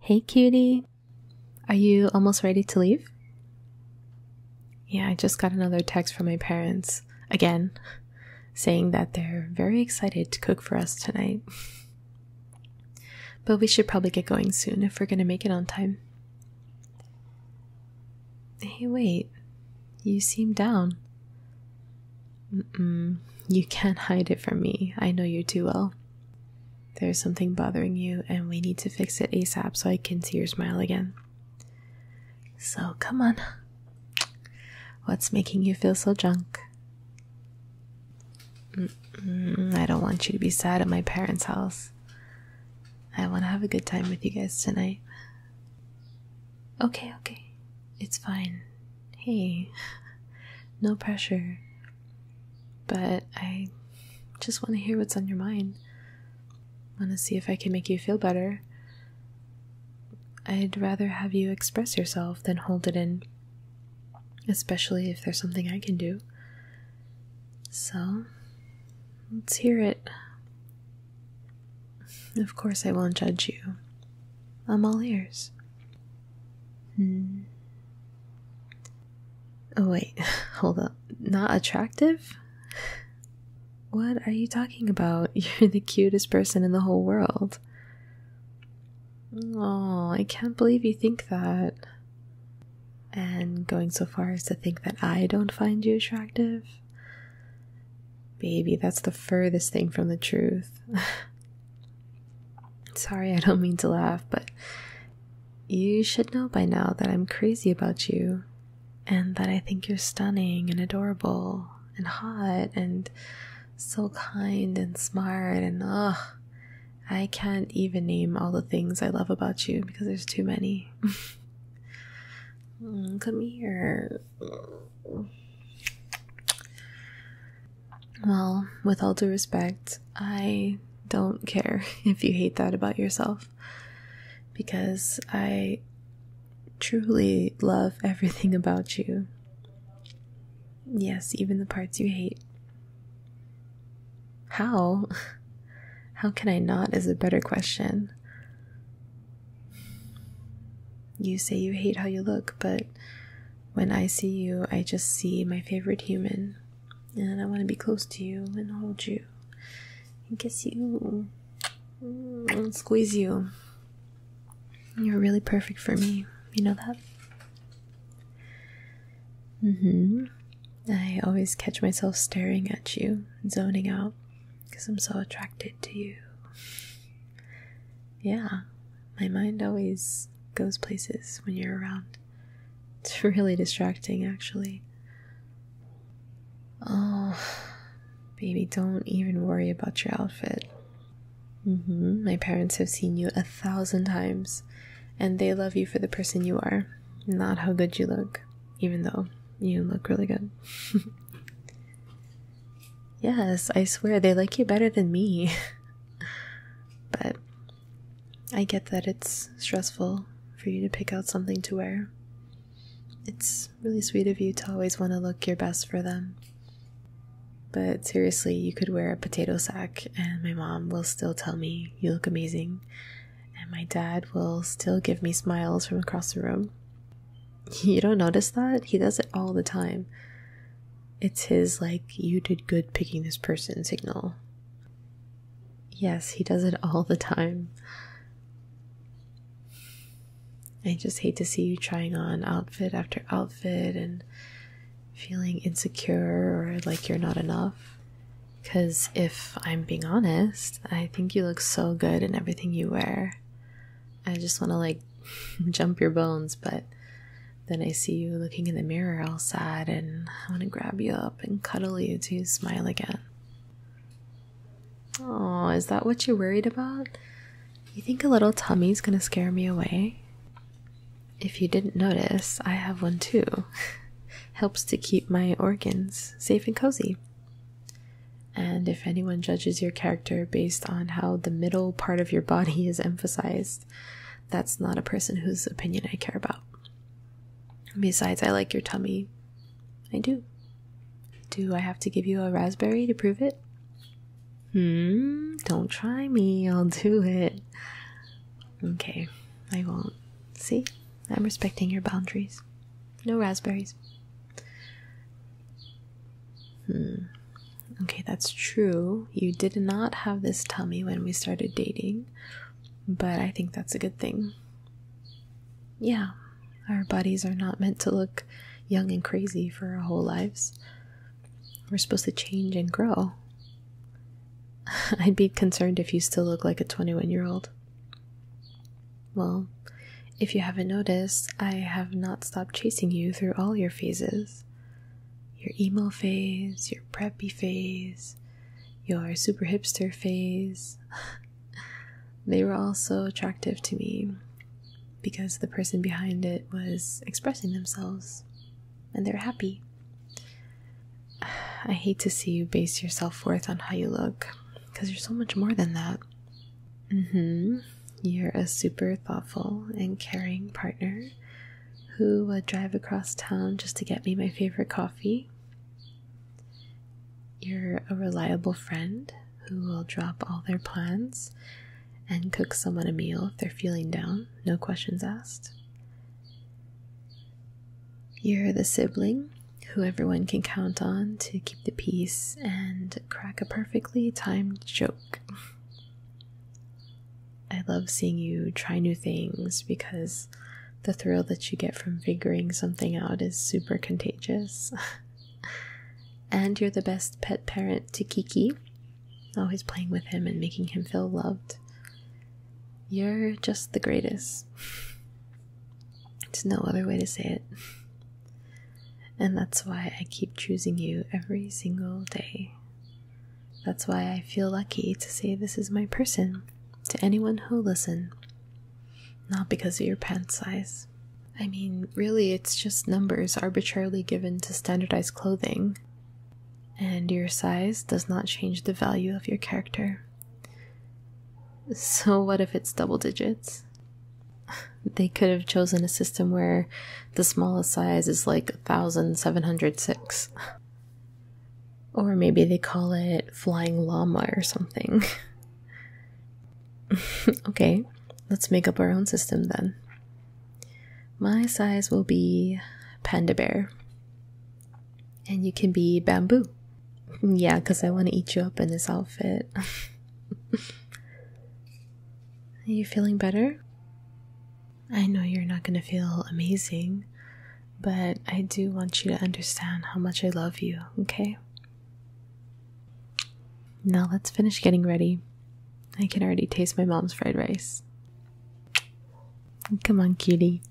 Hey, cutie. Are you almost ready to leave? Yeah, I just got another text from my parents again saying that they're very excited to cook for us tonight. but we should probably get going soon if we're going to make it on time. Hey, wait. You seem down. You can't hide it from me. I know you too well. There's something bothering you, and we need to fix it ASAP so I can see your smile again. So, come on. What's making you feel so drunk? I don't want you to be sad at my parents' house. I want to have a good time with you guys tonight. Okay, okay. It's fine. Hey, no pressure. But I just want to hear what's on your mind. Want to see if I can make you feel better. I'd rather have you express yourself than hold it in, especially if there's something I can do. So, let's hear it. Of course, I won't judge you. I'm all ears. Hmm. Oh, wait, hold up. Not attractive? What are you talking about? You're the cutest person in the whole world. Oh, I can't believe you think that. And going so far as to think that I don't find you attractive? Baby, that's the furthest thing from the truth. Sorry, I don't mean to laugh, but you should know by now that I'm crazy about you and that I think you're stunning and adorable and hot and so kind and smart and ugh. I can't even name all the things I love about you because there's too many. Mm, come here. Well, with all due respect, I don't care if you hate that about yourself because I truly love everything about you. Yes, even the parts you hate. How? How can I not is a better question. You say you hate how you look, but when I see you, I just see my favorite human, and I want to be close to you and hold you and kiss you mm, and squeeze you. You're really perfect for me. You know that? Mm hmm. I always catch myself staring at you and zoning out because I'm so attracted to you yeah, my mind always goes places when you're around. It's really distracting, actually. Oh, baby, don't even worry about your outfit. Mm-hmm. My parents have seen you a thousand times, and they love you for the person you are, not how good you look, even though you look really good. Yes, I swear they like you better than me. but I get that it's stressful for you to pick out something to wear. It's really sweet of you to always want to look your best for them. But seriously, you could wear a potato sack, and my mom will still tell me you look amazing, and my dad will still give me smiles from across the room. You don't notice that? He does it all the time. It's his, like, you did good picking this person signal. Yes, he does it all the time. I just hate to see you trying on outfit after outfit and feeling insecure or like you're not enough. Because if I'm being honest, I think you look so good in everything you wear. I just want to like jump your bones, but then I see you looking in the mirror all sad, and I want to grab you up and cuddle you to smile again. Oh, is that what you're worried about? You think a little tummy's gonna scare me away? If you didn't notice, I have one too. Helps to keep my organs safe and cozy. And if anyone judges your character based on how the middle part of your body is emphasized, that's not a person whose opinion I care about. Besides, I like your tummy. I do. Do I have to give you a raspberry to prove it? Hmm, don't try me, I'll do it. Okay, I won't. See? I'm respecting your boundaries. No raspberries. Hmm. Okay, that's true. You did not have this tummy when we started dating, but I think that's a good thing. Yeah, our bodies are not meant to look young and crazy for our whole lives. We're supposed to change and grow. I'd be concerned if you still look like a 21 year old. Well, if you haven't noticed, I have not stopped chasing you through all your phases your emo phase, your preppy phase, your super hipster phase. they were all so attractive to me because the person behind it was expressing themselves and they're happy. I hate to see you base your self worth on how you look because you're so much more than that. Mm-hmm. You're a super thoughtful and caring partner who would drive across town just to get me my favorite coffee. You're a reliable friend who will drop all their plans and cook someone a meal if they're feeling down, no questions asked. You're the sibling who everyone can count on to keep the peace and crack a perfectly timed joke. I love seeing you try new things because the thrill that you get from figuring something out is super contagious. and you're the best pet parent to Kiki, always playing with him and making him feel loved. You're just the greatest. There's no other way to say it. And that's why I keep choosing you every single day. That's why I feel lucky to say this is my person to anyone who'll listen. Not because of your pant size. I mean, really, it's just numbers arbitrarily given to standardize clothing. And your size does not change the value of your character. So, what if it's double digits? They could have chosen a system where the smallest size is like 1706. Or maybe they call it Flying Llama or something. okay, let's make up our own system then. My size will be Panda Bear. And you can be bamboo. Yeah, because I want to eat you up in this outfit. Are you feeling better? I know you're not going to feel amazing, but I do want you to understand how much I love you, okay? Now let's finish getting ready. I can already taste my mom's fried rice. Come on, cutie.